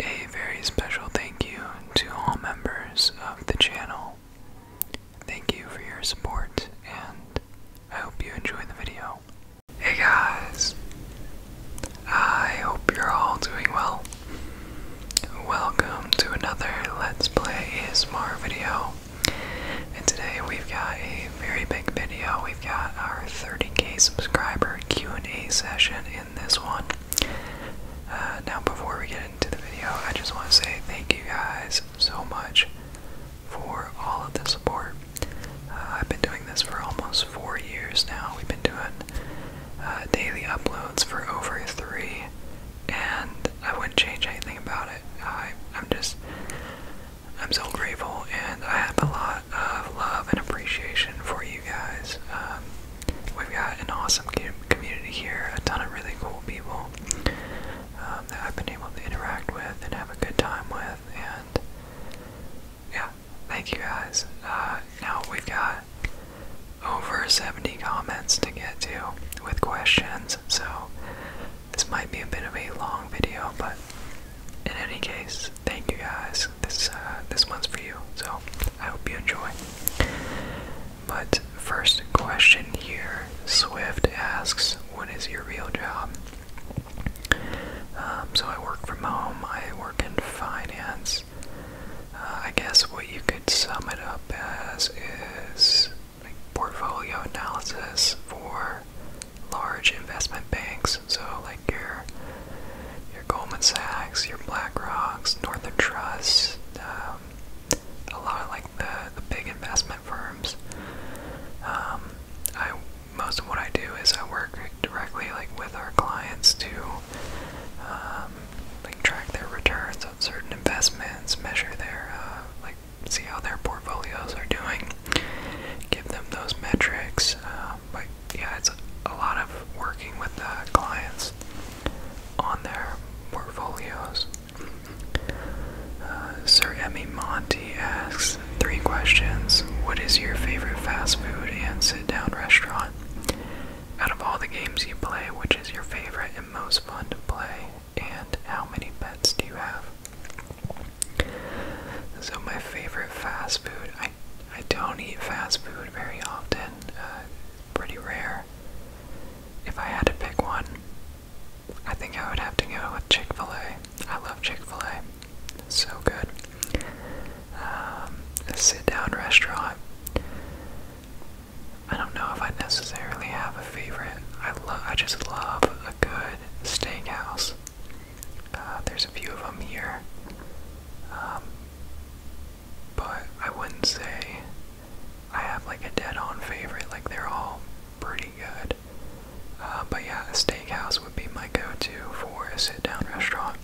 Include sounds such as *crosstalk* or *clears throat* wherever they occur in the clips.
A very special thank you to all members of the channel. Thank you for your support, and I hope you enjoy the video. Hey guys! I hope you're all doing well. Welcome to another Let's Play ASMR video. And today we've got a very big video. We've got our 30k subscriber Q&A session in this one. Uh, now before we get into the video, I just want to say thank you guys so much for all of the support. Uh, I've been doing this for almost four years now. We've been doing uh, daily uploads for over three, and I wouldn't change anything about it. I, am just, I'm so grateful, and I have a lot of love and appreciation for you guys. Um, we've got an awesome community here, a ton of really cool people um, that I've been able to interact with and have a good time with, and yeah, thank you guys. Uh, now we've got over 70 comments to get to with questions so this might be a bit of a long video, but in any case, thank you guys. This uh, this one's for you, so I hope you enjoy. But first question here, Swift asks, "What is your real job?" Um, so I work from home. I work in finance. Uh, I guess what you could sum it up as is like portfolio analysis for large investment banks. So like your your Goldman Sachs, your BlackRock's, Northern Trust, um, a lot of like the the big investment firms. Um, I most of what I do is I work directly like with our clients to um, like track their returns on certain investments, measure their uh, like see how their portfolios are doing, give them those metrics. Uh, but yeah, it's a lot of working with the clients on their portfolios. Uh, Sir Emmy Monty asks three questions. What is your favorite fast food and sit down restaurant? Out of all the games you play, which is your favorite and most fun to play and how many pets do you have? So my favorite fast food, I I don't eat fast food very often, uh, pretty rare. If I had to pick one, I think I would have to go with Chick-fil-A. I love Chick-fil-A, so good. a um, sit-down restaurant. I don't know if I necessarily have a favorite. I love. I just love a good steakhouse. Uh, there's a few of them here, um, but I wouldn't say I have like a dead-on favorite. Like they're all pretty good. Uh, but yeah, a steakhouse would be my go-to for a sit-down restaurant.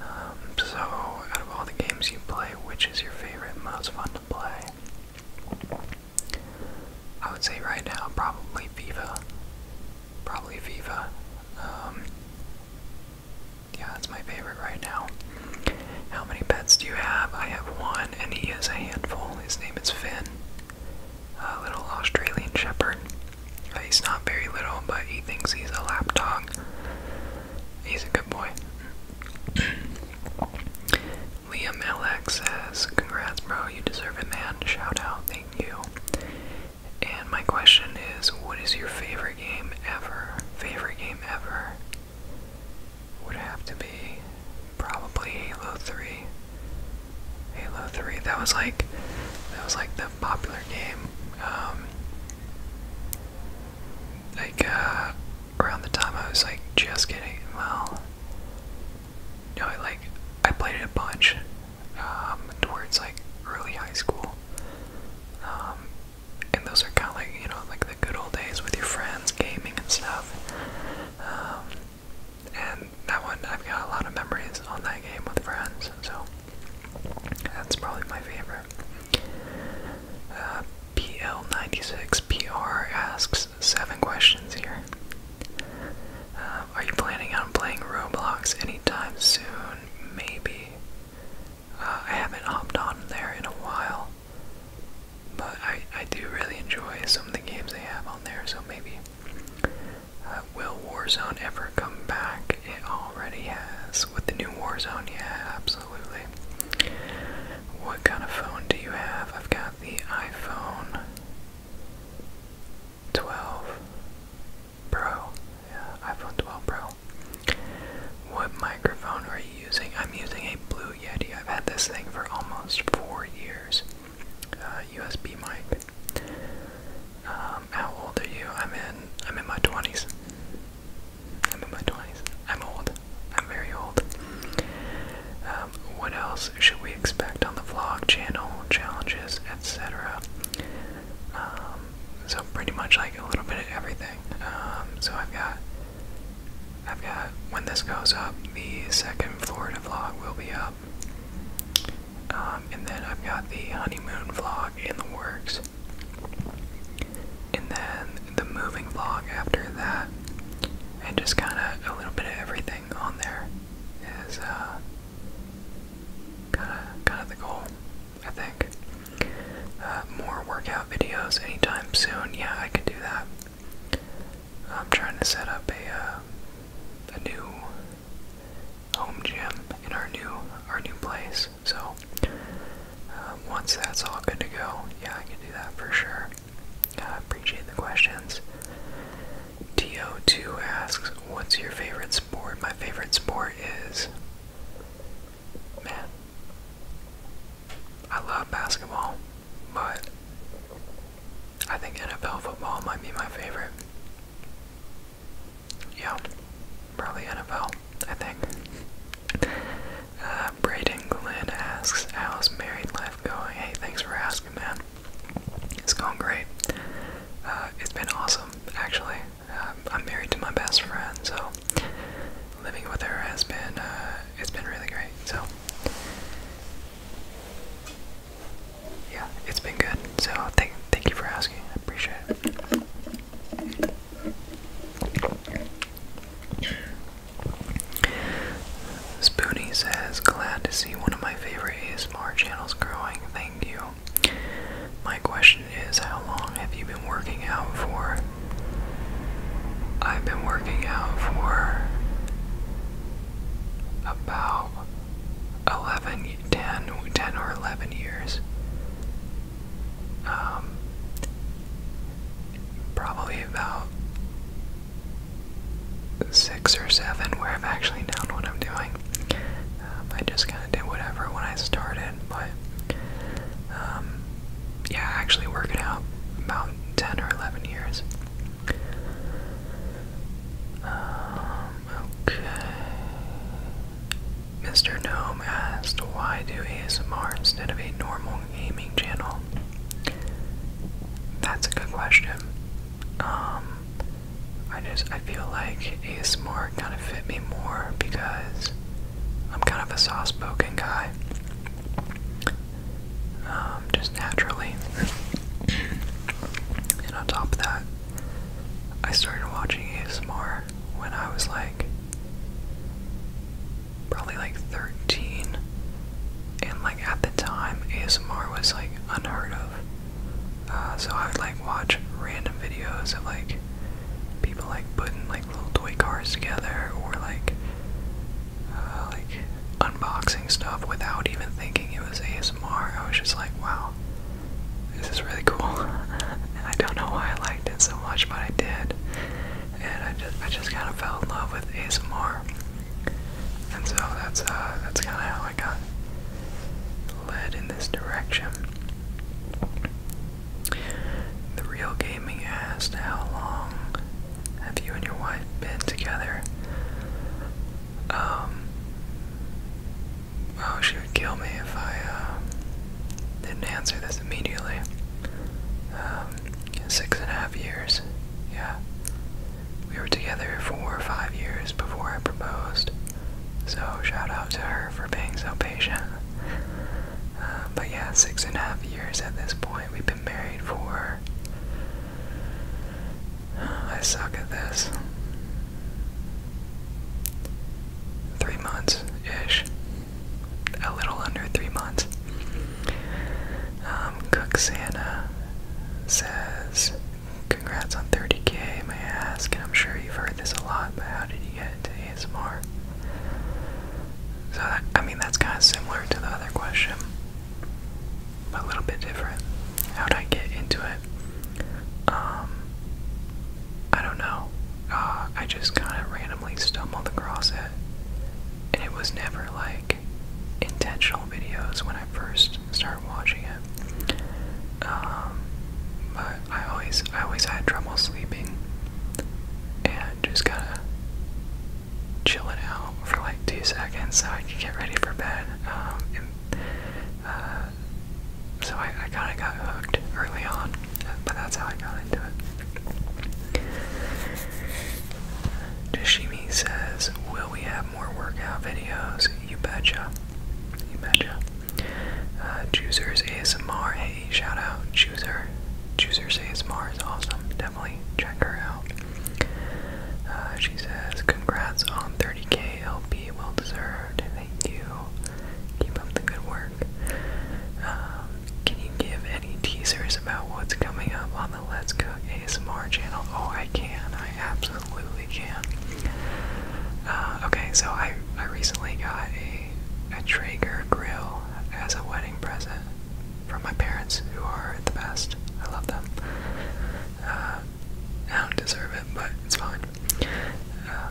Um, so, out of all the games you play, which is your favorite, most fun to play? I would say right now probably Viva. Probably Viva. Um, yeah, that's my favorite right now. How many pets do you have? I have one, and he is a handful. His name is Finn, a little Australian shepherd. He's not very little, but he thinks he's a lap dog. He's a good boy. *clears throat* Liam LX says, Congrats, bro, you deserve it, man. Shout out, thank you. And my question is, what is your favorite game ever? Favorite game ever would have to be probably Halo 3. Halo 3. That was like that was like the popular game. Um, like uh, around the time I was like just getting well no I like I played it a bunch um towards like early high school um and those are kind of like you know like the good old days with your friends gaming and stuff um and that one I've got a lot of memories on that game with friends so that's probably my favorite uh, PL96PR asks seven questions here. Uh, are you planning on playing Roblox anytime soon? Maybe. Uh, I haven't hopped on there in a while, but I, I do really enjoy some of the games they have on there, so maybe. Uh, will Warzone ever come back? It already has. With the new Warzone, yeah, absolutely. What kind of phone do you have? I've got the iPhone 12 Pro. Yeah, iPhone 12 Pro. What microphone are you using? I'm using a Blue Yeti. I've had this thing for almost four years. Uh, USB mic. Um, how old are you? I'm in. I'm in my twenties. I'm in my twenties. I'm old. I'm very old. Um, what else should we expect on the vlog channel? Challenges, etc. Um, so pretty much like a little bit of everything. Um, so I've got, I've got when this goes up, the second Florida vlog will be up, and then I've got the honeymoon vlog in the works, and then the moving vlog after that, and just kind of a little bit of everything on there is kind of kind of the goal, I think. Uh, more workout videos anytime soon. Yeah, I could do that. I'm trying to set up a uh, a new home gym in our new our new place. So uh, once that's all good to go, yeah, I can do that for sure. I appreciate the questions. TO2 asks, What's your favorite sport? My favorite sport is. Man. I love basketball, but I think NFL football might be my favorite. Yeah, probably NFL, I think. Uh, Braden Glenn asks, How's married life going? Hey, thanks for asking, man. It's going great. Uh, it's been awesome, actually. Um, I'm married to my best friend, so living with her has been, uh, it's been really great. So, yeah, it's been good. So, thank, thank you for asking. I appreciate it. Spoonie says, Glad to see one of my favorite ASMR channels growing, thank you. My question is, how long have you been working out for? I've been working out for about 11, 10, or 11 years. Um, probably about six or seven where I've actually known what I'm doing. Um, I just kind of did whatever when I started, but um, yeah, actually working out about 10 or 11 years. Um, okay. Mr. Gnome asked, why do ASMR instead of a normal gaming channel? That's a good question. Um, I just I feel like more kind of fit me more because I'm kind of a soft-spoken guy, um, just naturally. *laughs* and on top of that, I started watching more when I was like probably like 13, and like at the time, ASMR was like unheard of. Uh, so I would like watch random videos of like people like putting like little toy cars together or like uh, like unboxing stuff without even thinking it was ASMR. I was just like, wow, this is really cool. *laughs* and I don't know why I liked it so much, but I did. And I just I just kind of fell in love with ASMR. And so that's uh, that's kind of how I got led in this direction. The real gaming asked, "How long have you and your wife been together?" Um. Oh, she would kill me if I uh, didn't answer this immediately. Um, six and a half years. Yeah. We were together four or five years before I proposed. So shout out to her for being so patient. Uh, but yeah, six and a half years at this point. We've been married for. I suck at this. Three months ish. A little under three months. Um, Cook Santa says, Congrats on 30k, may I ask? And I'm sure you've heard this a lot, but how did you get into ASMR? So, that, I mean, that's kind of similar to the other question, but a little bit different. How'd I get into it? Um, I don't know. Uh, I just kind of randomly stumbled across it, and it was never like intentional videos when I first started watching it. Um, but I always I always had trouble sleeping and just kinda it out for like two seconds so I can get ready for bed. Um, uh, so I, I kinda got hooked early on, but that's how I got into it. Jashimi says, Will we have more workout videos? You betcha. You betcha. Uh, Choosers ASMR, hey, shout out. Chooser. Choosers ASMR is awesome. Definitely check her out. Uh, she says, Congrats on 30k LP. Well deserved. Thank you. Keep up the good work. Um, can you give any teasers about what's coming up the Let's Cook ASMR channel. Oh, I can. I absolutely can. Uh, okay, so I, I recently got a, a Traeger grill as a wedding present from my parents, who are the best. I love them. Uh, I don't deserve it, but it's fine. Uh,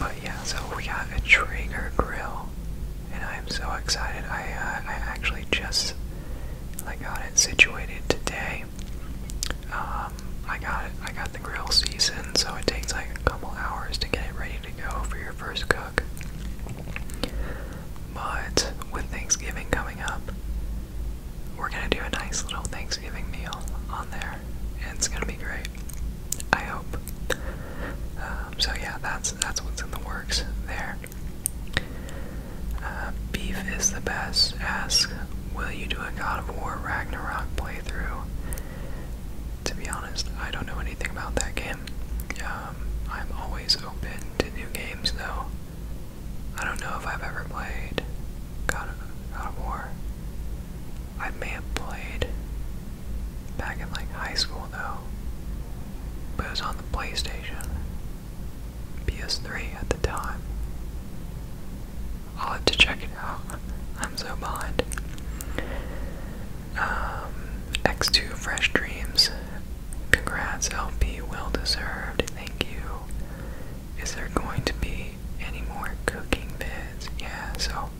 but yeah, so we have a Traeger grill and I am so excited. I uh, I actually just like got it situated today. Um, I got I got the grill seasoned, so it takes like a couple hours to get it ready to go for your first cook. But with Thanksgiving coming up, we're gonna do a nice little Thanksgiving meal on there, and it's gonna be great. I hope. Um, so yeah, that's that's what's in the works there. Uh, beef is the best. Ask, will you do a God of War Ragnarok playthrough? To be honest, I don't know anything about that game. Um, I'm always open to new games, though. I don't know if I've ever played God of, God of War. I may have played back in like high school, though. But it was on the PlayStation. PS3 at the time. I'll have to check it out. *laughs* I'm so behind. Um, X2 Fresh Dreams. Congrats, LP. Well deserved. Thank you. Is there going to be any more cooking vids? Yeah, so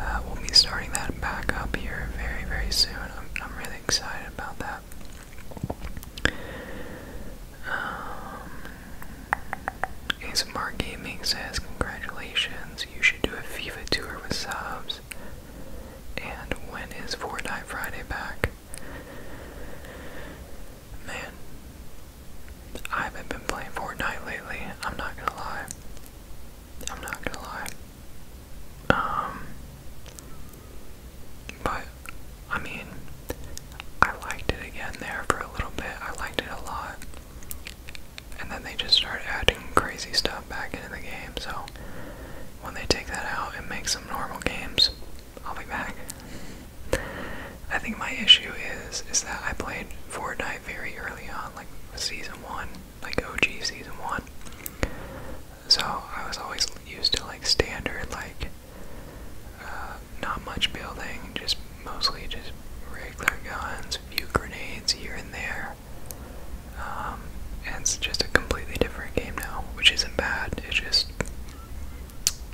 uh, we'll be starting that back up here very, very soon. I'm really excited about that. Um, ASMR Gaming says, Congratulations, you should do a FIFA tour with subs. And when is Fortnite Friday back? Man, I haven't been playing Fortnite lately, I'm not gonna lie. I'm not gonna lie. Um, but, I mean, I liked it again there for a little bit. I liked it a lot. And then they just started adding crazy stuff back into the game, so when they take that out and make some normal games, I'll be back. I think my issue is is that I played Fortnite very early on, like season one, like OG season one. So I was always used to like standard, like uh, not much building, just mostly just regular guns, few grenades here and there. Um, and it's just a completely different game now, which isn't bad. It's just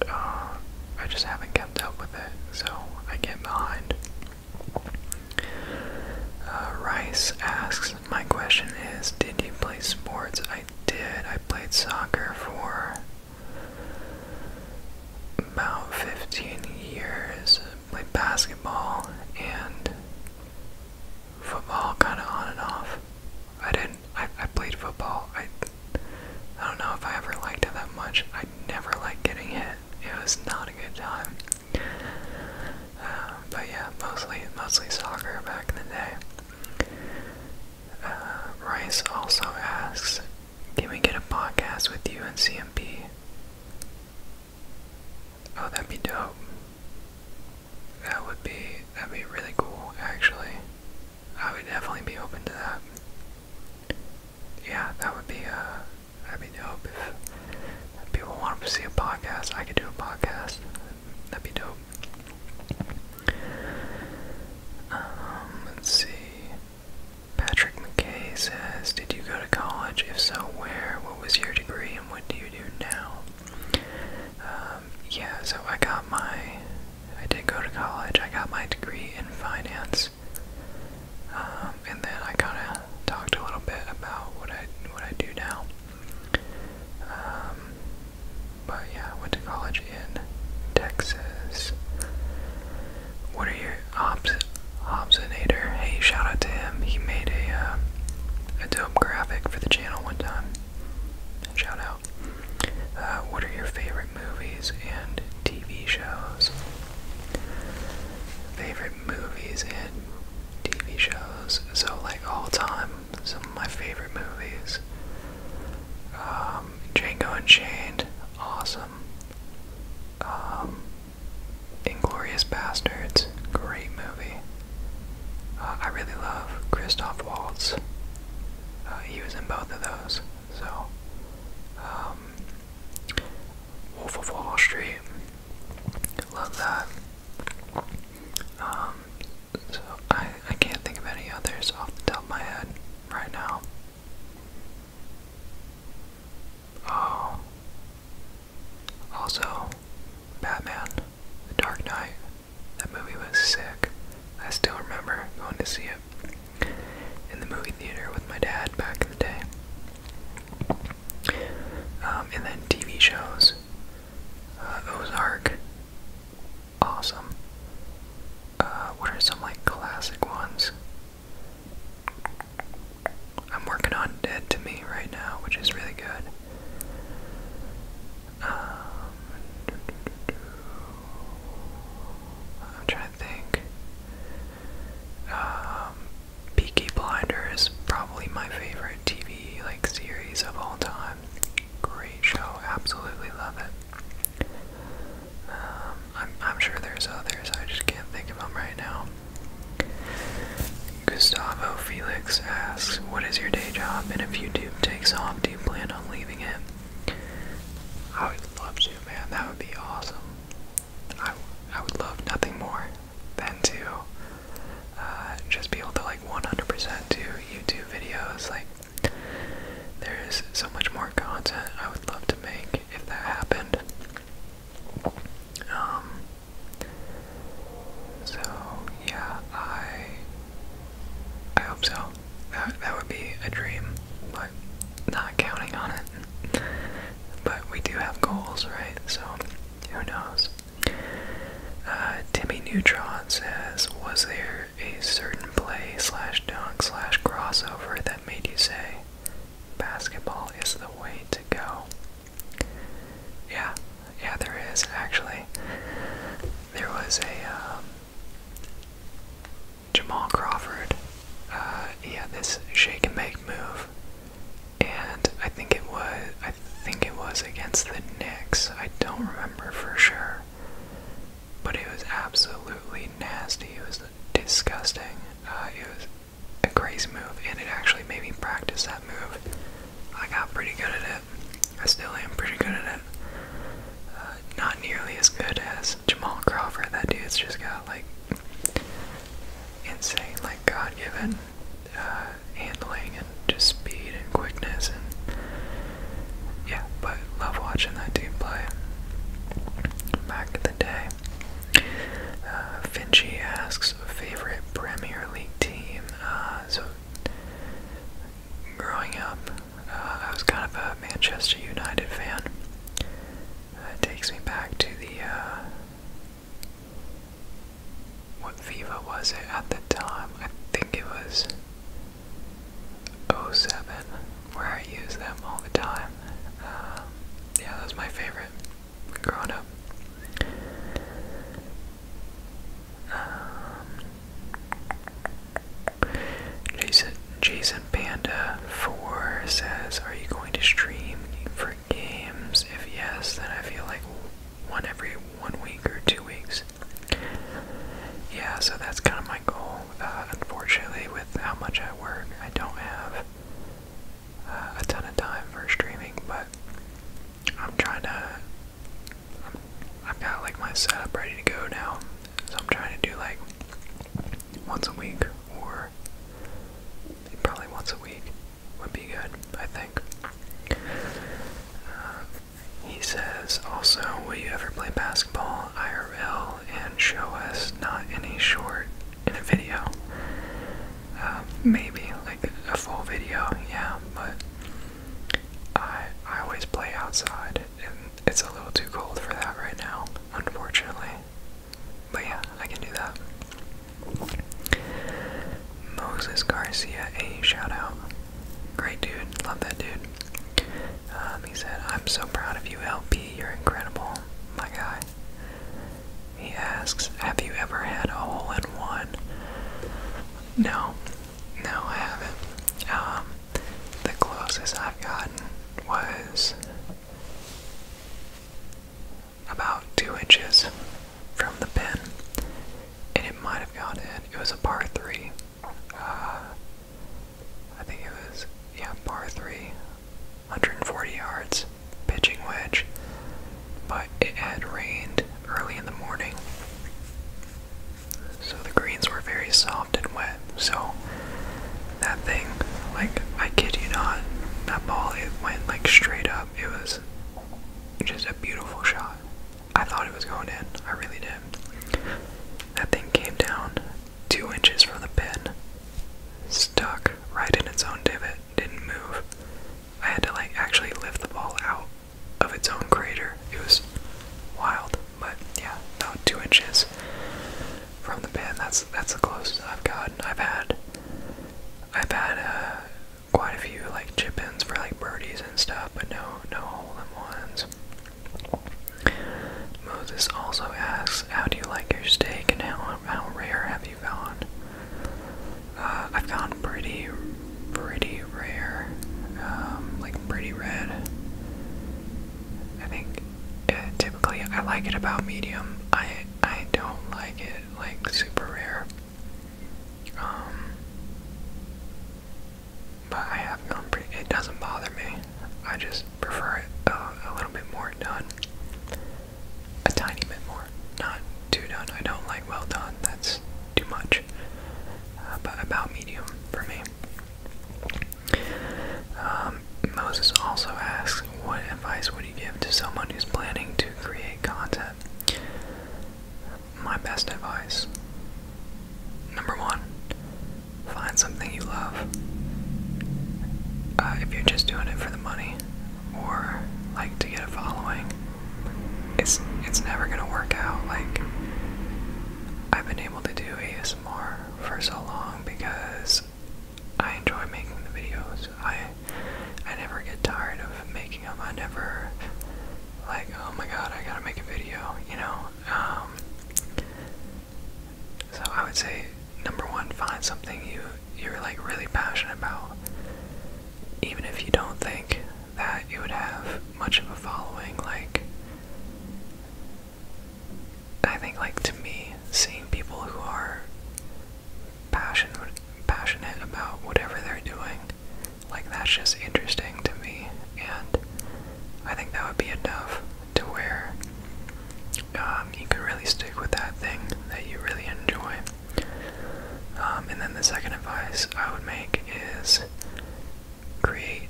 uh, I just haven't kept up with it, so I get behind. Uh, Rice asks, my question is, did you play sports? I did. I played soccer for about 15 years. Played basketball and football kind of on and off. I didn't, I, I played football. I, I don't know if I ever liked it that much. I never liked getting hit. It was not a good time. Uh, but yeah, mostly, mostly soccer back in the day. Uh, Rice also asks, can we get a podcast with you and CMP? Oh, that'd be dope. That would be that'd be really cool, actually. I would definitely be open to that. Yeah, that would be uh that'd be dope if people want to see a podcast. I could do a podcast. That'd be dope. Um, let's see. Patrick McKay says, Did you go to college? If so, where? What was your degree and what do you do now? Um, yeah, so I got my. I did go to college. I got my degree in finance. Um, and then I kind of talked a little bit about what I what I do now. Um, but yeah, went to college in Texas. What are your Hobbs Hobsonator? Hey, shout out to him. He made a uh, um, a dope graphic for the channel one time. Shout out. Uh, what are your favorite movies and TV shows? Favorite movies and TV shows. So like all time, some of my favorite movies. Um, Django Unchained, awesome. Um, Inglorious Bastards, great movie. Uh, I really love Christoph Waltz. Uh, he was in both of those. So, um, Wolf of Wall Street, love that. Um, so I I can't think of any others off the top of my head right now. Oh. Also, Batman, The Dark Knight. That movie was sick. I still remember going to see it in the movie theater with my dad back in the day. Um, and then TV shows. Uh, Ozark, awesome. Uh, what are some like classic ones? I'm working on Dead to Me right now, which is really good. Um, I'm trying to think. Um, Peaky Blinders is probably my favorite TV like series of all time. Great show, absolutely love it. Um, I'm, I'm sure there's others, I just can't think of them right now. Gustavo Felix asks, What is your day job? And if YouTube takes off, do you plan on leaving it? I would love to, man. That would be awesome. I, I would love nothing more than to uh, just be able to like 100% do YouTube videos. Like, there's so much more content I would love to make if that happened. Um, so yeah, I I hope so. That that would be a dream, but not counting on it. But we do have goals, right? So who knows? Uh, Timmy Neutron says, was there a certain play slash dunk slash crossover that made you say, basketball is the way to go? Yeah, yeah, there is actually. There was a um, Jamal Crawford. Yeah, uh, this shake and bake move, and I think it was I I think it was against the Knicks. I don't remember for sure. But it was absolutely nasty. It was disgusting. Uh, it was a crazy move, and it actually made me practice that move. I got pretty good at it. I still am pretty good at it. Uh, not nearly as good as Jamal Crawford. That dude's just got like insane, like God given uh, handling and just speed and quickness and yeah, but love watching that team play. Back in the day. Uh, Finchie asks favorite Premier League team. Uh, so growing up, uh, I was kind of a Manchester United fan. Uh, it takes me back to the what Viva was it at the time? I think it was 07, where I use them all the time. Um, yeah, that was my favorite growing up. Um, Jason, Jason Panda 4 says, Are you going to stream for games? If yes, then I feel like one every one week or two weeks. Yeah, so that's kind of my goal. Uh, unfortunately, with how much I work, I don't have uh, a ton of time for streaming, but I'm trying to. i have got like my setup ready to go now, so I'm trying to do like once a week or probably once a week would be good, I think. Uh, he says, also, will you ever play basketball IRL and show us not any short in a video? Um, maybe, like a full video, yeah, but I, I always play outside, and it's a little too cold for that right now, unfortunately. But yeah, I can do that. Moses Garcia, a shout out. Great dude. Love that dude. Um, he said, I'm so proud of you, LP. You're incredible. My guy. He asks, Have you ever had a hole in one? No. No, I haven't. Um, the closest I've gotten was about two inches from the pin and it might have gone in. It was a par three. Uh, I think it was yeah, par three, 140 yards, pitching wedge. But it had rained early in the morning, so the greens were very soft and wet. So that thing, like I kid you not, that ball it went like straight up. It was just a beautiful shot. I thought it was going in. I really did. That thing came down two inches from the pin, stuck right in its own divot, didn't move. I had to like actually lift the ball out of its own crater. It was wild, but yeah, about two inches from the pin. That's that's the closest I've gotten. I've had I've had uh, quite a few like chip for like birdies and stuff, but no, no hole in ones. Moses also asks, "How do you like your steak, and how how rare have you gone?" Uh, I've gone pretty, pretty rare, um, like pretty red. I think uh, typically I like it about medium. I I don't like it like super rare. Um, but I have it doesn't bother me. I just prefer it uh, a little bit more done. A tiny bit more, not too done. I don't like well done, that's too much, uh, but about medium for me. Um, Moses also asks, What advice would you give to someone who's planning to create content? my best advice. Number one, find something you love. Uh, if you're just doing it for the money or like to get a following, it's it's never gonna work out. Like I've been able to do ASMR for so long because I enjoy making the videos. I I never get tired of making them. I never like, oh my god, I gotta make a video, you know? Um, so I would say, number one, find something you, you're like really passionate about. Even if you don't think that you would have much of a following, like, I think, like, to me, seeing people who are passionate, passionate about whatever they're doing like, that's just interesting to me, and I think that would be enough to where um, you could really stick with that thing that you really enjoy. Um, and then the second advice I would make is create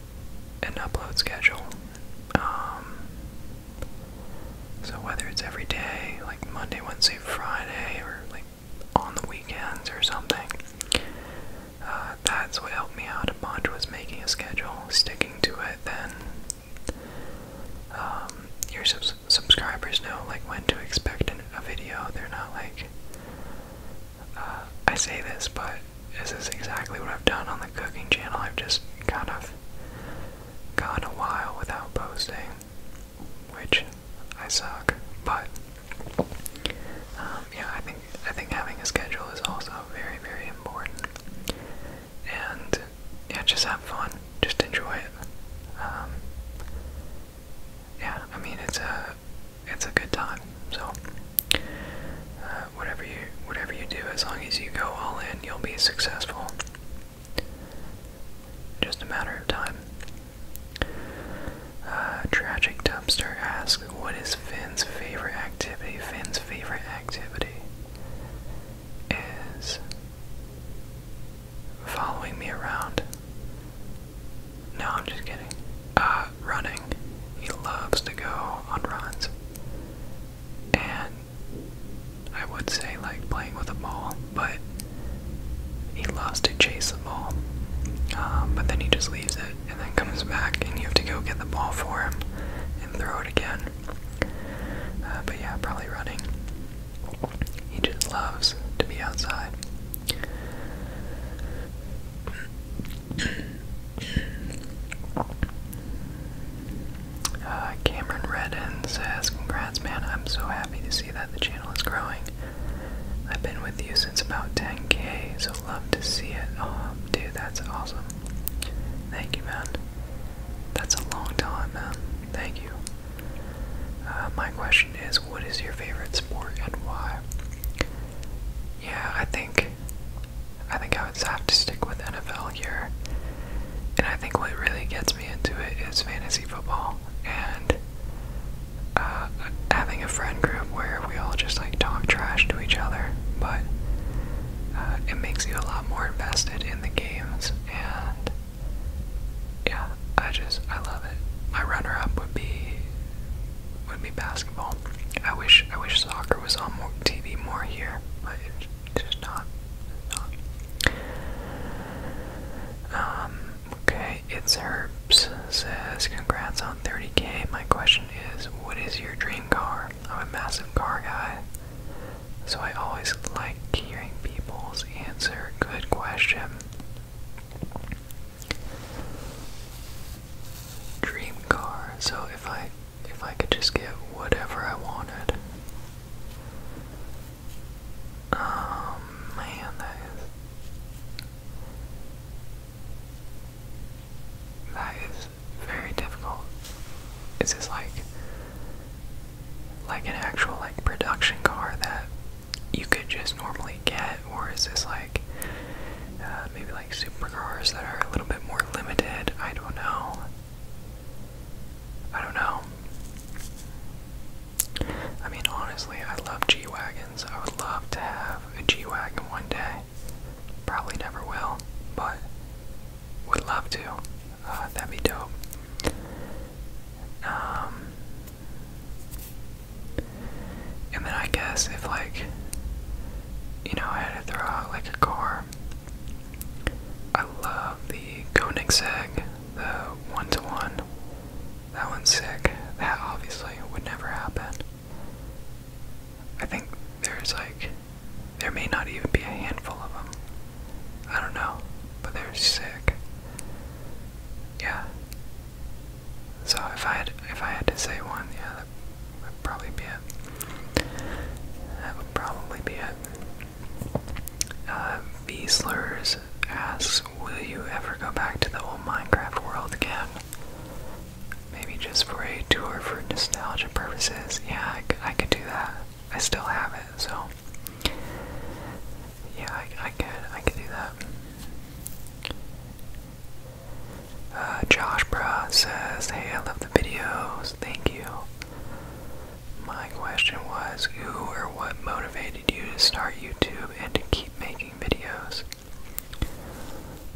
an upload schedule. Um, so whether it's every day, like Monday, Wednesday, Friday, or like on the weekends or something. Uh, that's what helped me out a bunch was making a schedule, sticking to it. Then um, your subscribers know like when to expect a video. They're not like uh, I say this, but this is exactly what I've done on the cooking channel. I've just kind of gone a while without posting, which I suck. But um, yeah, I think I think having a schedule is also very, very important. And yeah, just have fun, just enjoy it. Um, yeah, I mean it's a it's a good time. So uh, whatever you whatever you do, as long as you go all in, you'll be successful. Just a matter of time. Uh, tragic Dumpster asks, What is Finn's favorite activity? Finn's favorite activity is following me around. No, I'm just kidding. Uh, running. He loves to go on runs. And I would say, like, playing with a ball, but he loves to chase a ball. Um, but then he just leaves it and then comes back and you have to go get the ball for him and throw it again. Uh, but yeah, probably running. He just loves to be outside. Uh, Cameron Redden says, Congrats, man. I'm so happy to see that the channel is growing. I've been with you since about 10k, so love to see it. Oh, dude, that's awesome. Thank you, man. That's a long time, man. Thank you. Uh, my question is what is your favorite sport and why? Yeah, I think I think I would have to stick with NFL here. And I think what really gets me into it is fantasy football. And uh, having a friend group where we all just like talk trash to each other, but uh, it makes you a lot more invested in the games, and yeah, I just I love it. My runner-up would be would be basketball. I wish I wish soccer was on more TV more here, but it's just not. Um. Okay, it's herbs says congrats on 30k, my question is what is your dream car? I'm a massive car guy, so I always like hearing people's answer. Good question. Dream car. So if I if I could just get whatever I wanted. Um, man, that is. That is very difficult. Is this like like an actual like production car that you could just normally get, or is this like uh, maybe like supercars that are a little bit more limited? I don't know. I don't know. I mean, honestly, I love G Wagons. I would love to have a G wagon one day. Probably never will, but would love to. Uh, that'd be dope. Um, and then I guess if like, you know, I had to throw out like a car. I love the Koenigsegg, the one to -one. That one's sick. That obviously would never happen. I think there's like, there may not even be a handful of them. I don't know, but they're sick. Yeah. So if I had, if I had to say one, yeah, that would probably be it. That would probably be it. Uh, asks, "Will you ever go back to the old Minecraft world again?" Maybe just for a tour for nostalgia purposes. Yeah, I could, do that. I still have it, so yeah, I, I could I could do that. Uh, Josh Bra says, "Hey, I love the videos. Thank you." My question was, who or what motivated you to start YouTube and to keep making videos?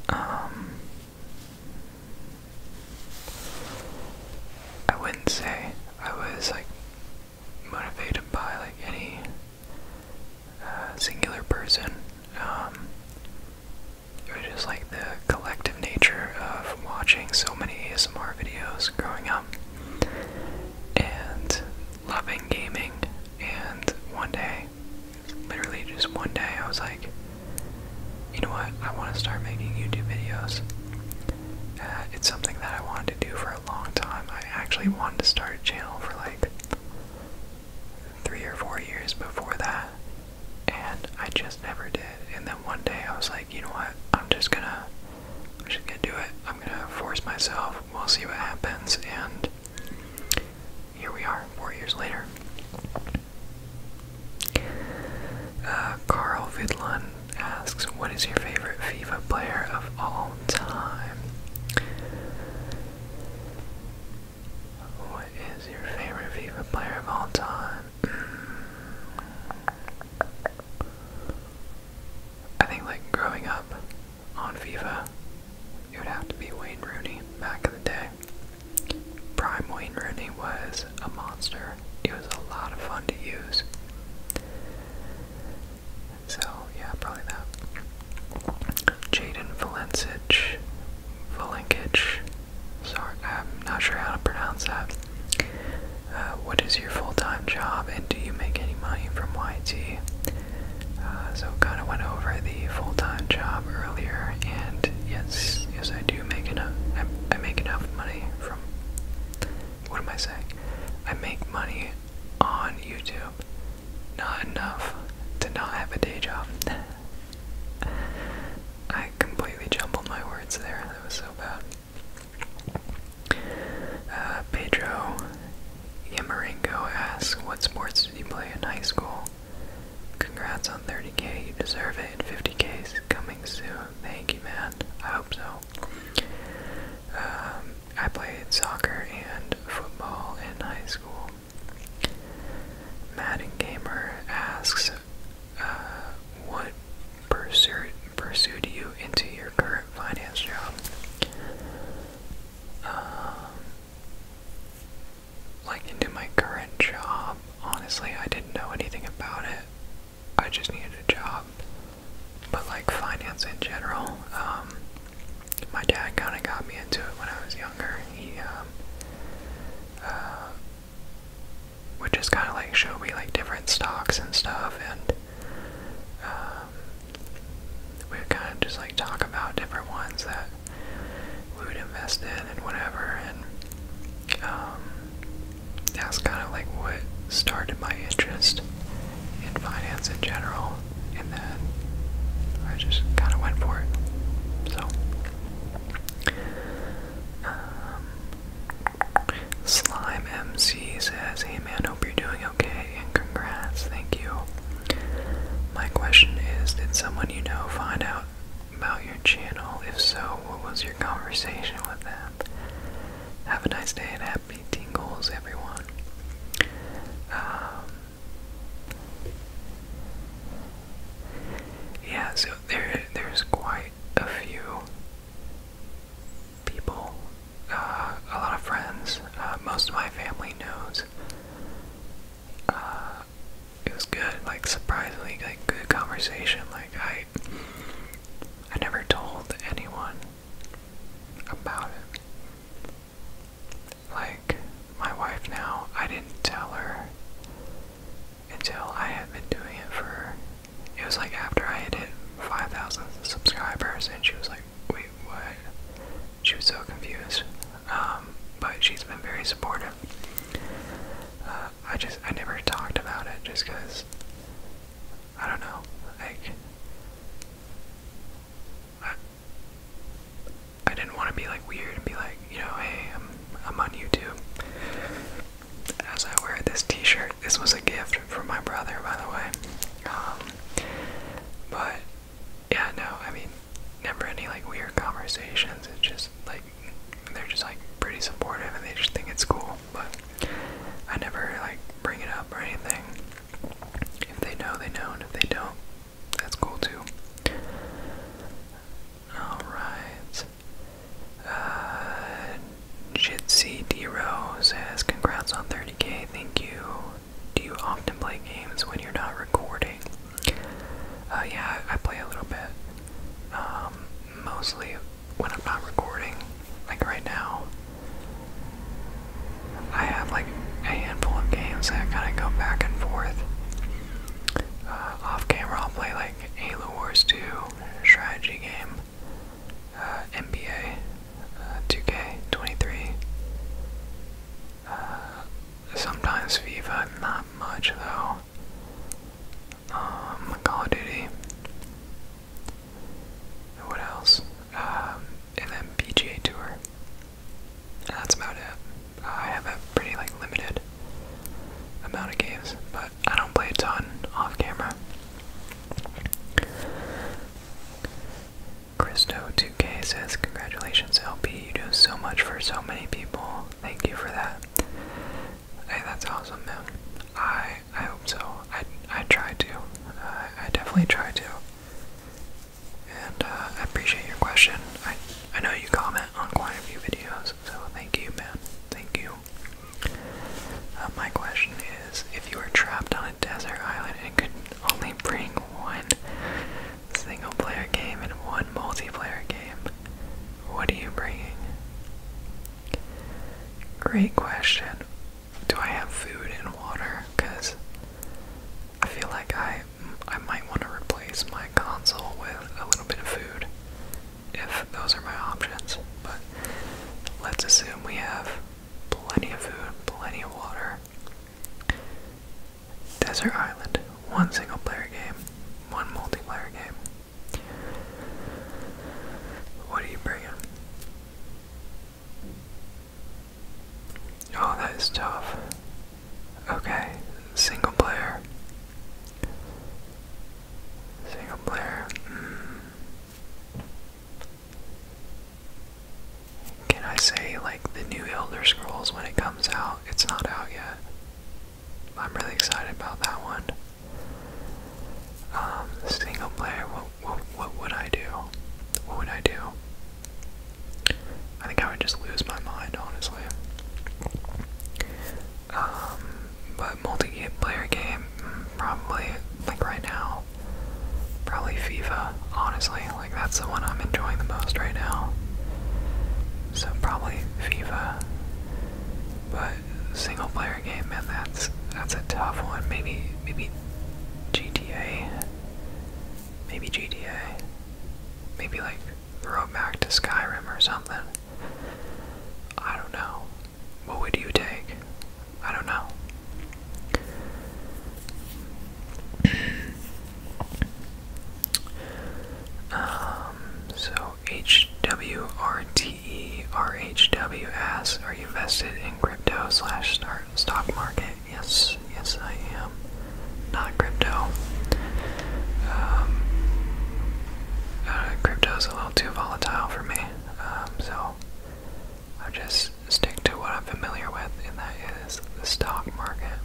Um, I wouldn't say I was like motivated by like any uh, singular person. Um, it was just like the collective nature of watching so many ASMR videos growing up and loving gaming, and one day Literally, just one day, I was like, you know what? I want to start making YouTube videos. Uh, it's something that I wanted to do for a long time. I actually wanted to start a channel for like three or four years before that, and I just never did. And then one day, I was like, you know what? I'm just gonna, I'm just gonna do it. I'm gonna force myself. We'll see what happens, and here we are, four years later. Uh, Carl Vidlund asks, What is your favorite FIFA player of all time? What is your favorite FIFA player of all time? Mm. I think, like, growing up, on FIFA, it would have to be Wayne Rooney back in the day. Prime Wayne Rooney was a monster. It was a lot of fun to use. So, yeah, probably that. Jaden Valencic. Valenkic. Sorry, I'm not sure how to pronounce that. Uh, what is your full time job and do you make any money from YT? Uh, so kind of went over the full-time job earlier, and yes, yes, I do make enough. I, make enough money from. What am I saying? I make money on YouTube, not enough to not have a day job. *laughs* I completely jumbled my words there. That was so bad. Uh, Pedro Yamarenko asks, "What sports did you play in high school?" Congrats on 30k, you deserve it, 50K is coming soon. Thank you, man. I hope so. Um, I played soccer and football in high school. Madden Gamer asks, uh, what pursued, pursued you into your current finance job? Um, like into my current job. Honestly, I didn't know anything about it. I just needed a job. But like finance in general, um, my dad kind of got me into it when I was younger. He um, uh, would just kind of like show me like different stocks and stuff, and um, we would kind of just like talk about different ones that that we would invest in and whatever. And um, that's kind of like what started my interest in finance in general. And then I just kind of went for it. So. Um, Slime MC says, Hey man, hope you're doing okay, and congrats, thank you. My question is Did someone you know find out about your channel? If so, what was your conversation with them? Have a nice day and happy tingles, everyone. Um, yeah, so there, there's quite a few people, uh, a lot of friends. Uh, most of my family knows uh, it was good. Like surprisingly, like good conversation. Like I, I never told anyone about it. Like my wife now, I didn't tell her until I had been doing it for. It was like after I had hit five thousand subscribers, and she was like, "Wait, what?" she was so confused. Um, but she's been very supportive. Uh, I just I never talked about it just because I don't know like I didn't want to be like weird and be like you know hey I'm I'm on YouTube as I wear this T-shirt. This was a gift from my brother by the way. Um, but yeah, no, I mean, never any like weird conversations. It's just like they're just like pretty supportive and they just think it's cool. But I never like bring it up or anything. If they know, they know, and if they don't, that's cool too. Alright. Uh D Rose says, Congrats on 30k, thank you. Do you often play games when you're not recording? Uh, yeah, I play a little bit. Um, mostly when I'm not recording, like right now. I have like a handful of games that kind of go back and forth. Uh, off camera, I'll play like Halo Wars 2, strategy game, uh, NBA, 2K23. Uh, Sometimes FIFA, not much though. Um, Call of Duty. What else? Um, Tour. that's about it. I have a pretty like limited amount of games, but I don't play a ton off camera. christo k says, Congratulations, LP. You do so much for so many people. Thank you for that. Hey, that's awesome, man. I I hope so. I I try to. Uh, I definitely try to. And uh, I appreciate your question. I I know you comment on quite a few videos, so thank you, man. Thank you. Uh, my question is, if you were trapped on a desert island and could only bring one single player game and one multiplayer game, what are you bringing? Great question. Do I have food and water? Because I feel like I, I might want to replace my console with a little bit of food if those are my options. But let's assume we have plenty of food, plenty of water, Desert Island, one single player game, one multiplayer game. What are you bringing? Oh, that is tough. Okay, single player. Single player. Hmm. Can I say, like, the new Elder Scrolls when it comes out? It's not out yet. I'm really excited about that one. Um, single player, what, what, would I do? What would I do? I think I would just lose my mind, honestly. Um, but multiplayer game, mm, probably, like right now, probably FIFA, honestly. Like, that's the one I'm enjoying the most right now. So, probably FIFA. But, single player game, man, that's, that's a tough one. Maybe, maybe GTA. Maybe GTA. Maybe, like, Throwback to Skyrim or something. I don't know. What would you take? I don't know. *clears throat* Um, so H W R T E R H W S. are you invested in crypto slash stock market? Yes, yes I am. Not crypto. Um, uh, crypto is a little too volatile for me, um, so i just stick to what I'm familiar with, and that the stock market.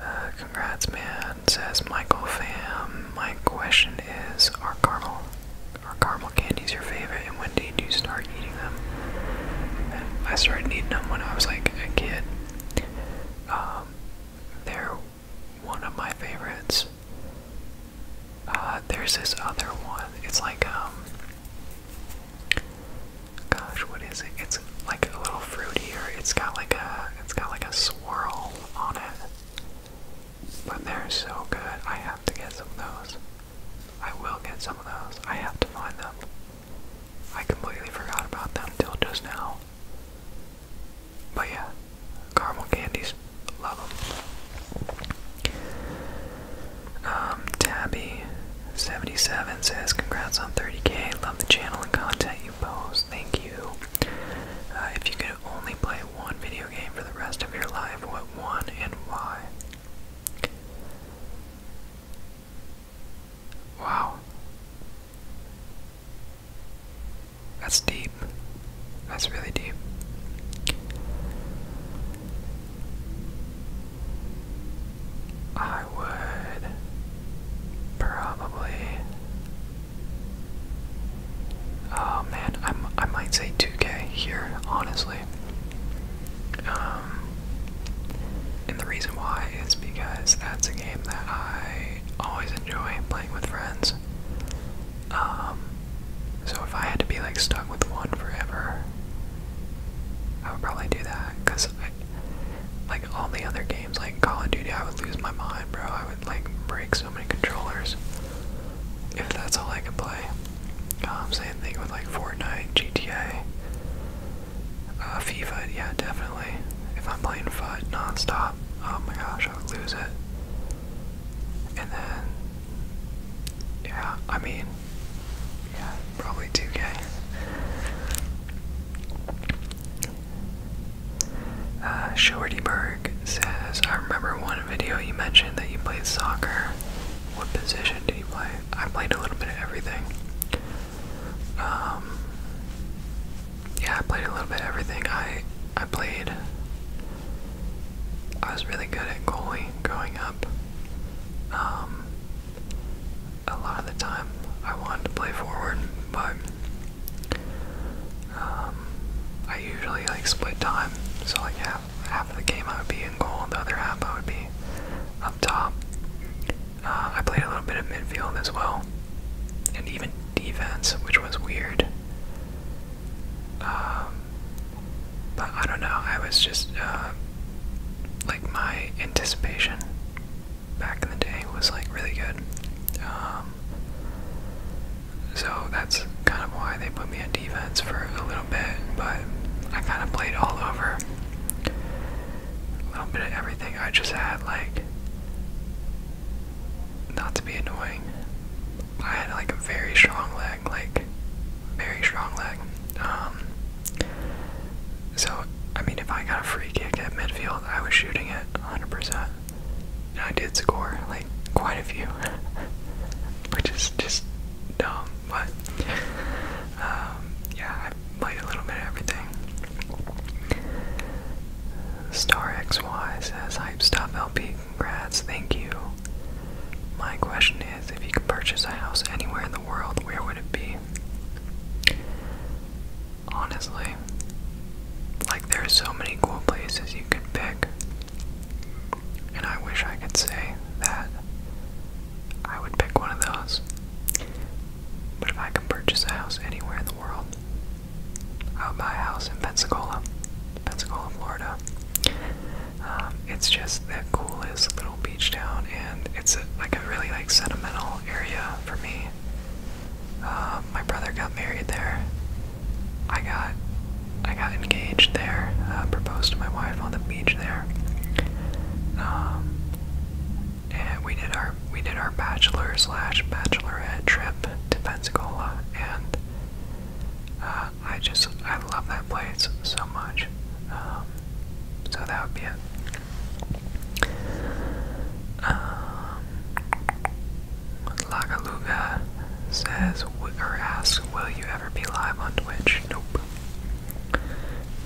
Uh, congrats, man, says Michael Fam. My question is Are caramel, are caramel candies your favorite, and when did you start eating them? I started eating them when I was like a kid. Um, they're one of my favorites. Uh, there's this other one. It's like, um, gosh, what is it? It's like a little fruitier. It's got like a it's got like a swirl on it. But they're so good. I have to get some of those. I will get some of those. I have to find them. I completely forgot about them till just now. But yeah, caramel candies, love them. Um, Tabby 77 says, Congrats on 30k. Love the channel and content you post. Thank you. Uh, if you could only play one video game for the rest of your life, what one and why? Wow. That's deep. That's really deep. I would probably. Oh man, I'm, I might say 2K here, honestly. Um, and the reason why is because that's a game that I always enjoy playing with friends. Um, so if I had to be like stuck with one forever, I would probably do that because like all the other games, like Call of Duty, I would lose my mind, bro. I would like break so many controllers if that's all I could play. I'm um, saying thing with like Fortnite, GTA, uh, FIFA. Yeah, definitely. If I'm playing FUT nonstop, oh my gosh, I would lose it. And then, yeah, I mean, yeah, probably 2K. Uh, Shortyberg says, I remember one video you mentioned that you played soccer. What position did you play? I played a little bit of everything. Um, yeah, I played a little bit everything. I, I played. I was really good at goalie growing up. Um, a lot of the time I wanted to play forward, but um, I usually like split time, so like half half of the game I would be in goal, the other half I would be up top. Uh, I played a little bit of midfield as well, and even defense, which was weird. Um, but I don't know. I was just uh, like my anticipation back in the day was like really good. Um, so that's kind of why they put me on defense for a little bit, but I kind of played all over. A little bit of everything. I just had like, not to be annoying, I had like a very strong leg, like, very strong leg. Um, so, I mean, if I got a free kick at midfield, I was shooting it 100%. And I did score, like, quite a few, *laughs* which is just dumb. But, um, yeah, I played a little bit of everything. Star XY says, Hype Stuff LP, congrats, thank you. My question is if you could purchase a house anywhere in the world, where would it be? Honestly, like there's so many cool places you can pick, and I wish I could say that I would pick one of those. But if I could purchase a house anywhere in the world, I would buy a house in Pensacola, Pensacola, Florida. Um, it's just the coolest little beach town, and it's like a really like sentimental area for me. Uh, my brother got married there. I got I got engaged there. Uh, proposed to my wife on the beach there. Um, and we did our we did our bachelor slash bachelorette trip to Pensacola, and uh, I just I love that place so much. Um, so that would be it. Um, Lagaluga says or asks, "Will you ever be live on Twitch?" Nope.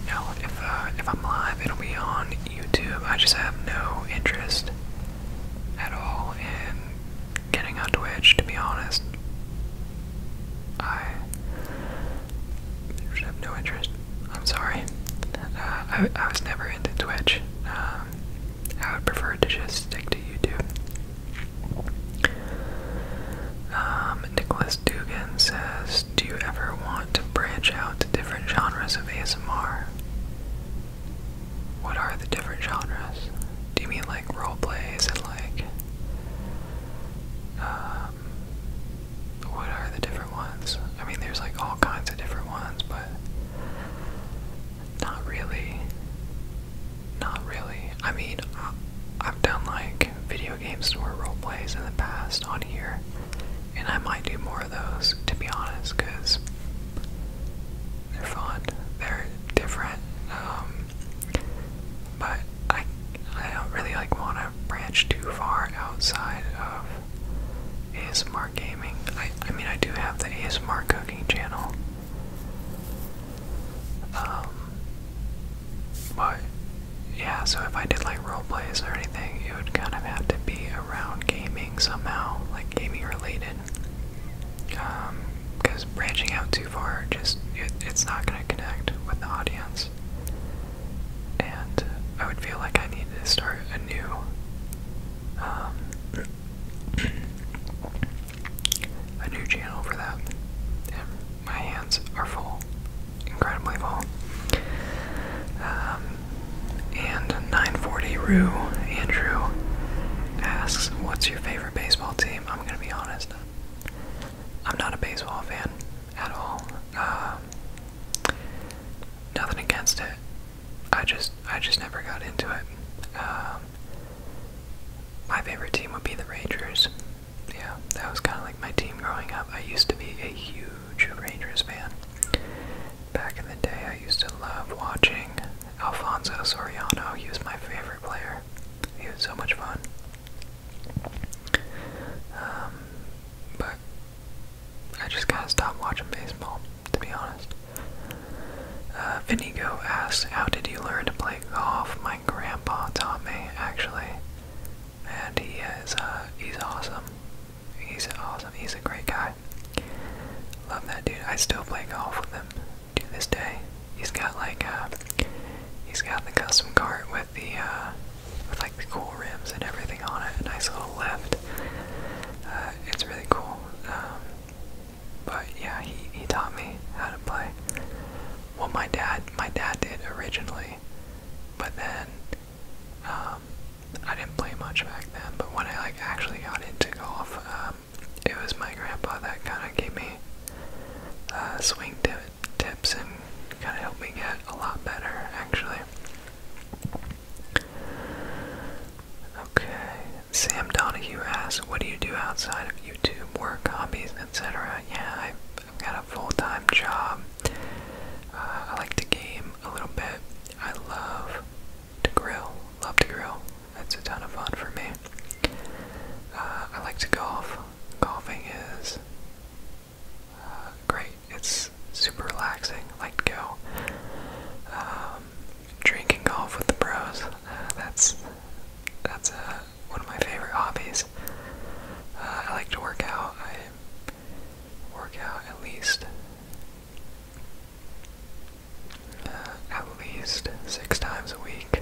No. If uh, if I'm live, it'll be on YouTube. I just have no interest at all in getting on Twitch. To be honest, I I have no interest. I'm sorry. Uh, I, I was never into Twitch. Um, I would prefer to just stick to YouTube. Um, Nicholas Dugan says, "Do you ever want to branch out to different genres of ASMR? What are the different genres? Do you mean like role plays and like?" Uh, um, what are the different ones? I mean, there's like all kinds of different ones, but not really. Not really. I mean, I've done like video games store role plays in the past on here, and I might do more of those to be honest, because they're fun. They're different. Um, but I I don't really like want to branch too far outside of ASMR gaming. I, I mean, I do have the ASMR cooking channel. Um, but yeah, so if I did like role plays or anything, it would kind of have to be around gaming somehow, like gaming related. Um, because branching out too far, just it, it's not gonna connect with the audience. And uh, I would feel like I needed to start anew. Um, a new channel for that. my hands are full, incredibly full. Um, and 940 Rue Andrew asks, "What's your favorite baseball team?" I'm gonna be honest. I'm not a baseball fan at all. Uh, nothing against it. I just I just never got into it. Um, my favorite team would be the Rangers. Yeah, that was kind of like my team growing up. I used to be a huge Rangers fan. Back in the day, I used to love watching Alfonso Soriano. He was my favorite player. He was so much fun. Um, but I just gotta stop watching baseball, to be honest. Uh, Vinigo asks, How did you learn to play golf? My grandpa taught me, actually. And he is, uh, he's awesome. He's awesome. He's a great guy. Love that dude. I still play golf with him to this day. He's got like, uh, he's got the custom cart with the, uh, with like the cool rims and everything on it. A nice little lift. Uh, it's really cool. Um, but yeah, he he taught me how to play. Well, my dad my dad did originally, but then um, I didn't play much back then. But when I like actually got into golf, um, it was my grandpa that kind of gave me uh, swing tip tips and kind of helped me get a lot better actually. Okay. Sam Donahue asks, what do you do outside of YouTube? Work, hobbies, etc. Yeah, I've, got a full-time job. Uh, I like to game a little bit. I love to grill. Love to grill. That's a ton of fun for me. Uh, I like to golf. Golfing is uh, great. It's super relaxing. Like to go um, drinking golf with the pros. Uh, that's that's uh, one of my favorite hobbies. Uh, I like to work out. I work out at least uh, at least six times a week.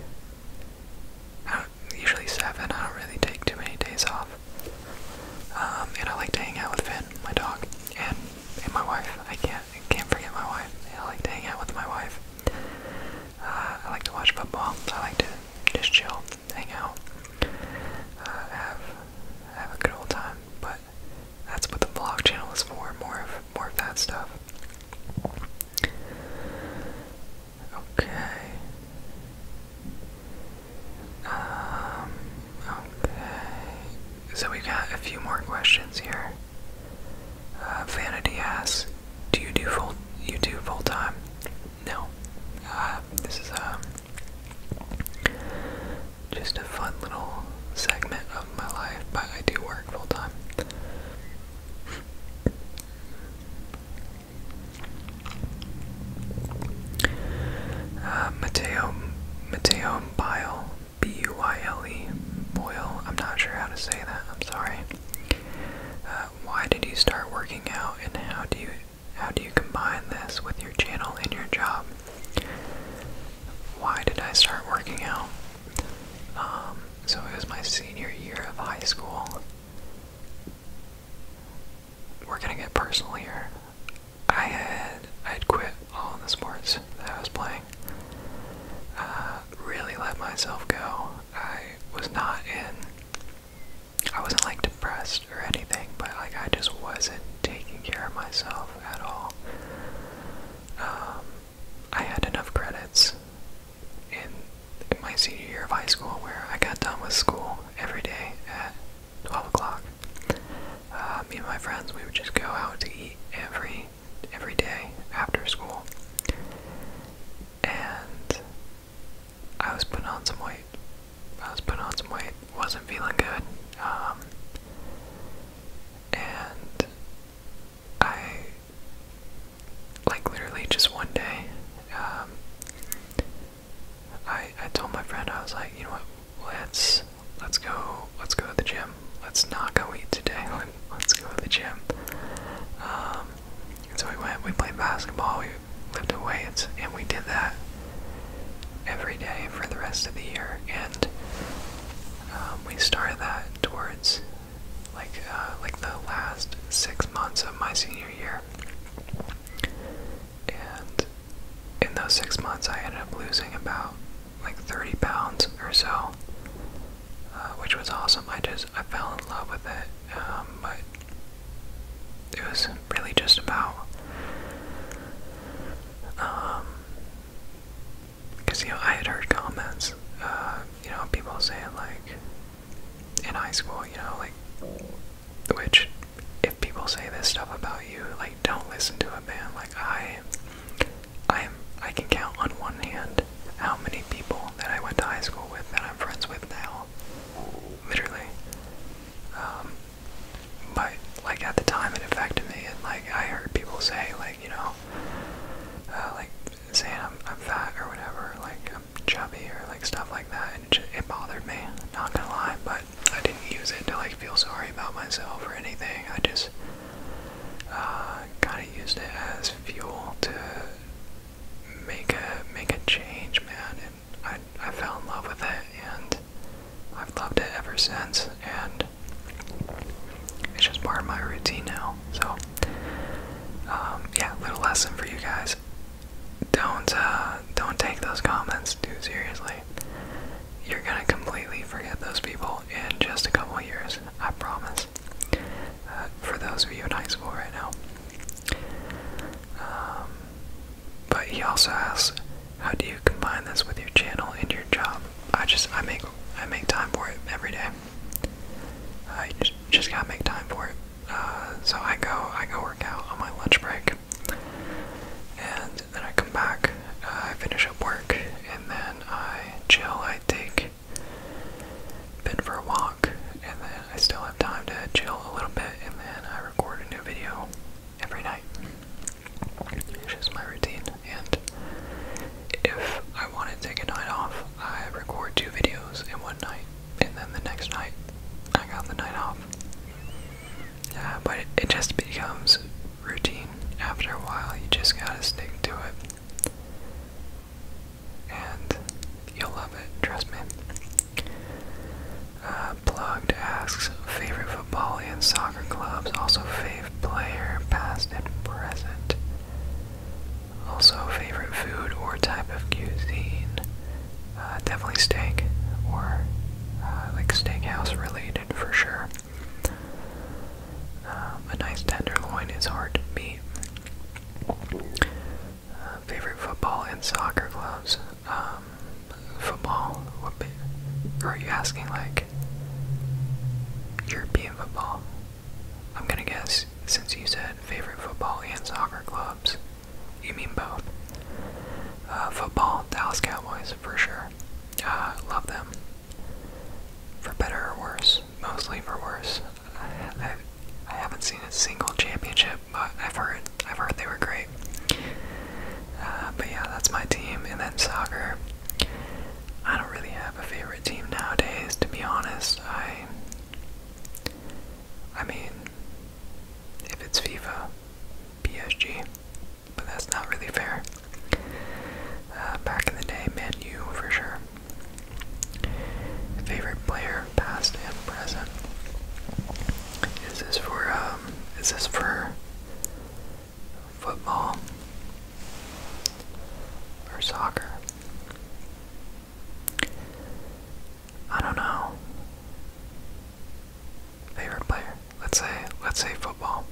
I usually seven. I don't really take too many days off. Um, and I like to hang out with Finn, my dog, and and my wife. I can't can't forget my wife. I like to hang out with my wife. Uh, I like to watch football. I like to just chill, hang out, uh, have have a good old time. But that's what the vlog channel is for. More of more of that stuff. Okay. Um, okay. So we've got a few more questions here. Uh, Vanity asks, "Do you do full? You do full time?" No. Uh, this is um just a fun little segment of my life, but I do work full time. Uh, Mateo, Mateo Bile, B-U-I-L-E, Boyle, I'm not sure how to say that, I'm sorry. Uh, why did you start working out and how do you, how do you combine this with your channel and your job? Why did I start working out? Um, so it was my senior year of high school we're gonna get personal here. I had I had quit all the sports that I was playing. Uh, really let myself go. I was not in. I wasn't like depressed or anything, but like I just wasn't taking care of myself at all. Um, I had enough credits in my senior year of high school where I got done with school every day at 12 o'clock. Uh, me and my friends, we would just go out to eat every every day after school, and I was putting on some weight. I was putting on some weight. wasn't feeling good. Um, and I like literally just one day. Um, I I told my friend I was like, you know what? Let's let's go let's go to the gym. Let's not go eat today. *laughs* Let's go to the gym. Um, so we went. We played basketball. We lived away. and we did that every day for the rest of the year. And um, we started that towards like uh, like the last six months of my senior year and in those six months, I ended up losing about like 30 pounds or so, uh, which was awesome. I just I fell in love with it, um, but it was really just about because um, you know I had heard comments, uh, you know, people saying like in high school, you know, like which, if people say this stuff about you, like don't listen to a man. Like I, I am, I can count on one hand how many people that I went to high school with that I'm friends with now, literally. Um, but like at the time, it affected me, and like I heard people say, like you know, uh, like saying I'm, I'm fat or whatever, like I'm chubby or like stuff like that, and it bothered me. Not gonna lie, but I didn't use it to like feel sorry about myself or anything. I just uh, kind of used it as fuel to make a make a change, man. And I I fell in love with it, and I've loved it ever since. And it's just part of my routine now. So um, yeah, little lesson for you guys. Don't uh, don't take those comments too seriously you're gonna completely forget those people in just a couple years, I promise. Uh, for those of you in high school right now. Um, but he also asks, how do you combine this with your channel and your job? I just I make I make time for it every day. I just, gotta make time for it. Uh, so I go I go work out on my lunch break. And then I come back, uh, I finish up work, and then I chill. I take Ben for a walk, and then I still have time to chill a little bit, and then I record a new video every night. It's just my routine, and if I want to take a night off, I record two videos in one night, and then the next night I got the night off. Uh, but it, just becomes routine after a while. You just gotta stick to it. And you'll love it, trust me. Uh, Plugged asks favorite football and soccer clubs, also favorite player, past and present. Also favorite food or type of cuisine. Uh, definitely steak or uh, like steakhouse related for sure. Um, a nice tenderloin is hard to beat. Uh, favorite football and soccer clubs. Um, football Or are you asking like European football? I'm gonna guess since you said favorite football and soccer clubs, you mean both. Uh, football, Dallas Cowboys for sure. Uh, love them. For better or worse, mostly for worse. I, I, haven't seen a single championship, but I've heard I've heard they were great. Uh, but yeah, that's my team. And then soccer. I don't really have a favorite team nowadays, to be honest. I I mean, if it's FIFA, PSG but that's not really fair. Uh, back in the day, Man for sure. Favorite player, past and present. Is this for um? Is this for football or soccer? I don't know. Favorite player. Let's say let's say football.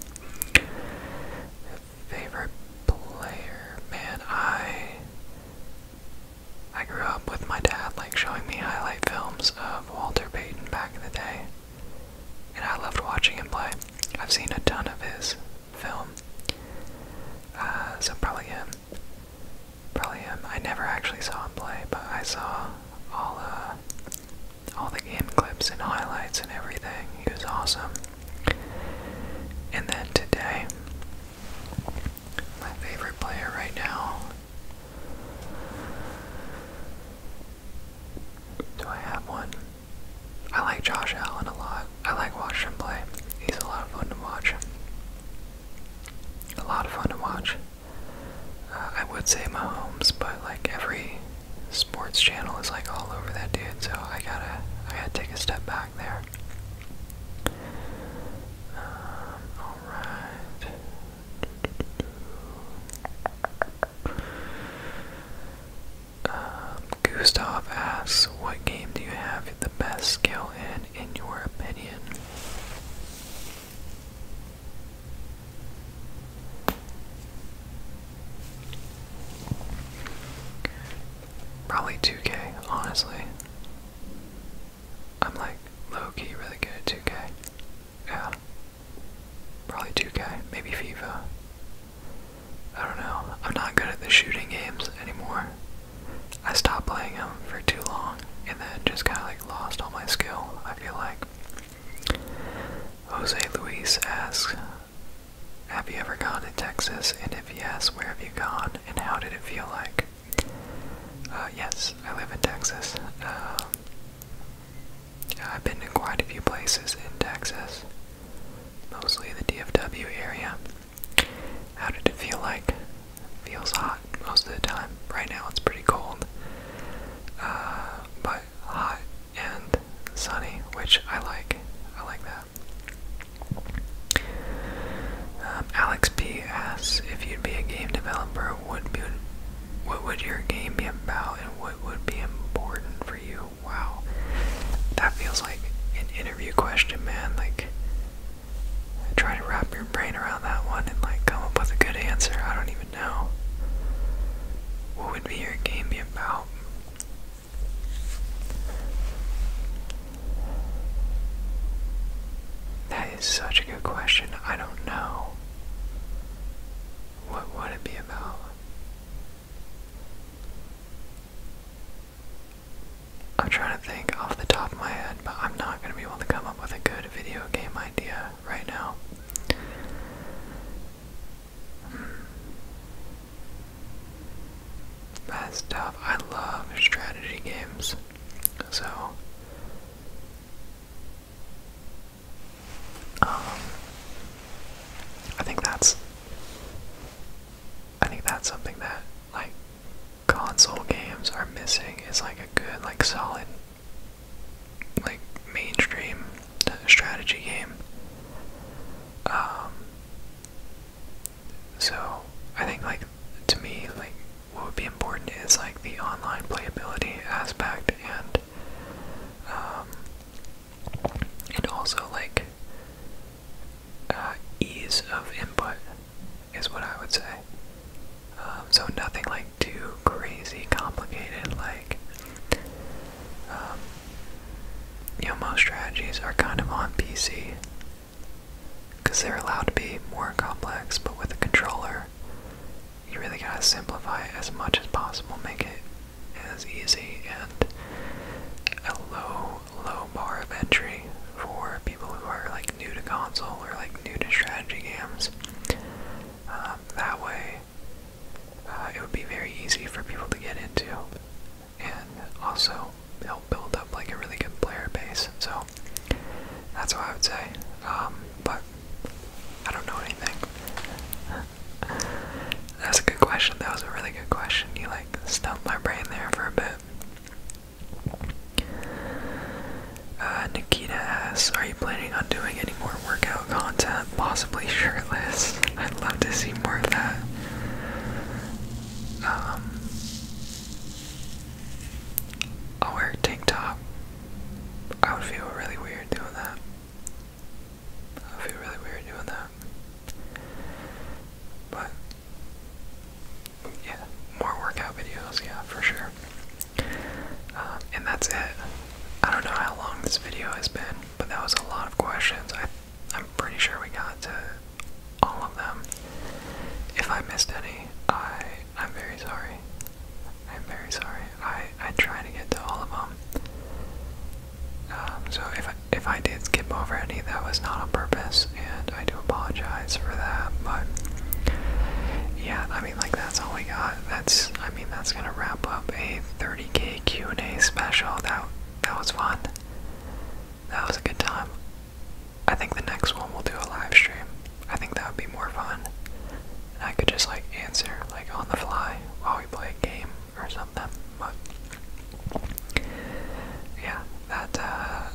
Favorite player, man, I I grew up with my dad like showing me highlight films of Walter Payton back in the day. And I loved watching him play. I've seen a ton of his film. Uh, so probably him. Probably him. I never actually saw him play, but I saw all uh, all the game clips and highlights and everything. He was awesome. And then today, my favorite player right now. Do I have one? I like Josh Allen a lot. I like watching him play. He's a lot of fun to watch. A lot of fun to watch. I would say Mahomes, but like every sports channel is like all over that dude, so I gotta I gotta take a step back there. Um, all right. Um, Gustav asks, "What game do you have the best skill in, in your opinion?" Probably 2K, honestly. I'm like low key really good at 2K. Yeah. Probably 2K, maybe FIFA. I don't know. I'm not good at the shooting games anymore. I stopped playing them for too long and then just kind of like lost all my skill, I feel like. Jose Luis asks, Have you ever gone to Texas? And if yes, where have you gone and how did it feel like? Uh, yes, I live in Texas. Um, I've been to quite a few places in Texas, mostly the DFW area. How did it feel like? Feels hot most of the time. Right now it's pretty cold. Uh, but hot and sunny, which I like. I like that. Um, Alex P asks if you'd be a game developer, would be, what would your game be about, and what would be important for you? Wow, that feels like an interview question, man. Like, try to wrap your brain around that one and like come up with a good answer. I don't even even What would be your game be about? That is such a good question. I don't know. What would it be about? I'm trying to think off the top of my head, but I'm not going to be able to come up with a good video game idea right now. that hmm. stuff. I love strategy games. So, um, I think that's, I think that's something that, like, console games are missing is like a good, like, solid like mainstream strategy game. Um, so I think like to me like what would be important is like the online playability aspect and um, and also like uh, ease of input is what I would say. Um, so nothing like too crazy complicated. Like, um, you know, most strategies are kind of on PC because they're allowed to be more complex, but with a controller, you really gotta simplify it as much as possible, make it as easy and a low, low bar of entry for people who are like new to console or like new to strategy games. Um, that way, uh, it would be very easy for people to get into and also help build up like a really good player base. So that's what I would say. Um, but I don't know anything. *laughs* That's a good question. That was a really good question. You like stumped my brain there for a bit. Uh, Nikita asks, are you planning on doing anymore?" workout content, possibly shirtless. I'd love to see more of that. Um, I'll wear a tank top. I would feel really weird doing that. I feel really weird doing that. But, yeah, more workout videos, yeah, for sure. Um, and that's it. I don't know how long this video has been, but that was a lot of questions. I, I'm pretty sure we got to all of them. If I missed any, I I'm very sorry. I'm very sorry. I I try to get to all of them. Um, so if I, if I did skip over any, that was not on purpose, and I do apologize for that. But yeah, I mean, like that's all we got. That's I mean, that's gonna wrap up a 30k Q&A special. That that was fun. That was a good time. I think the next one we'll do a live stream. I think that would be more fun. And I could just like answer like on the fly while we play a game or something. But yeah, that uh,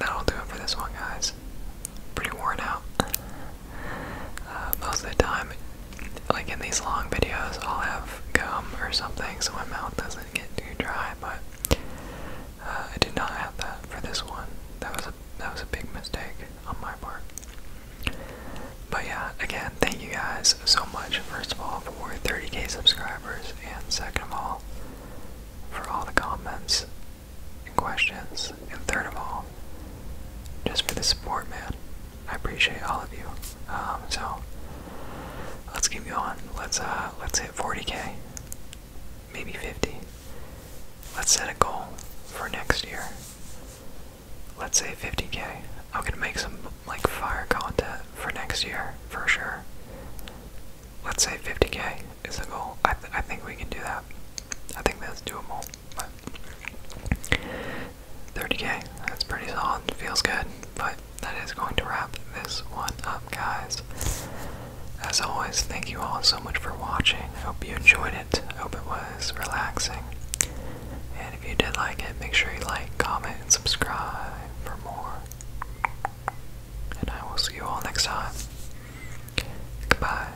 that'll do it for this one, guys. Pretty worn out. Uh, most of the time, like in these long videos, I'll have gum or something so my mouth doesn't get too dry, but uh, I did not have that for this one. That was a that was a big mistake on my part. But yeah, again, thank you guys so much, first of all, for 30k subscribers, and second of all, for all the comments and questions, and third of all, just for the support, man. I appreciate all of you. Um, so let's keep going. Let's uh, let's hit 40k, maybe 50. Let's set a goal for next year. Let's say 50k. I'm gonna make some like fire content for next year for sure. Let's say 50k is the goal. I I think we can do that. I think that's doable. 30k, that's pretty solid, feels good. But that is going to wrap this one up, guys. As always, thank you all so much for watching. I hope you enjoyed it. I hope it was relaxing. And if you did like it, make sure you like, comment, and subscribe for more. And I will see you all next time. Goodbye.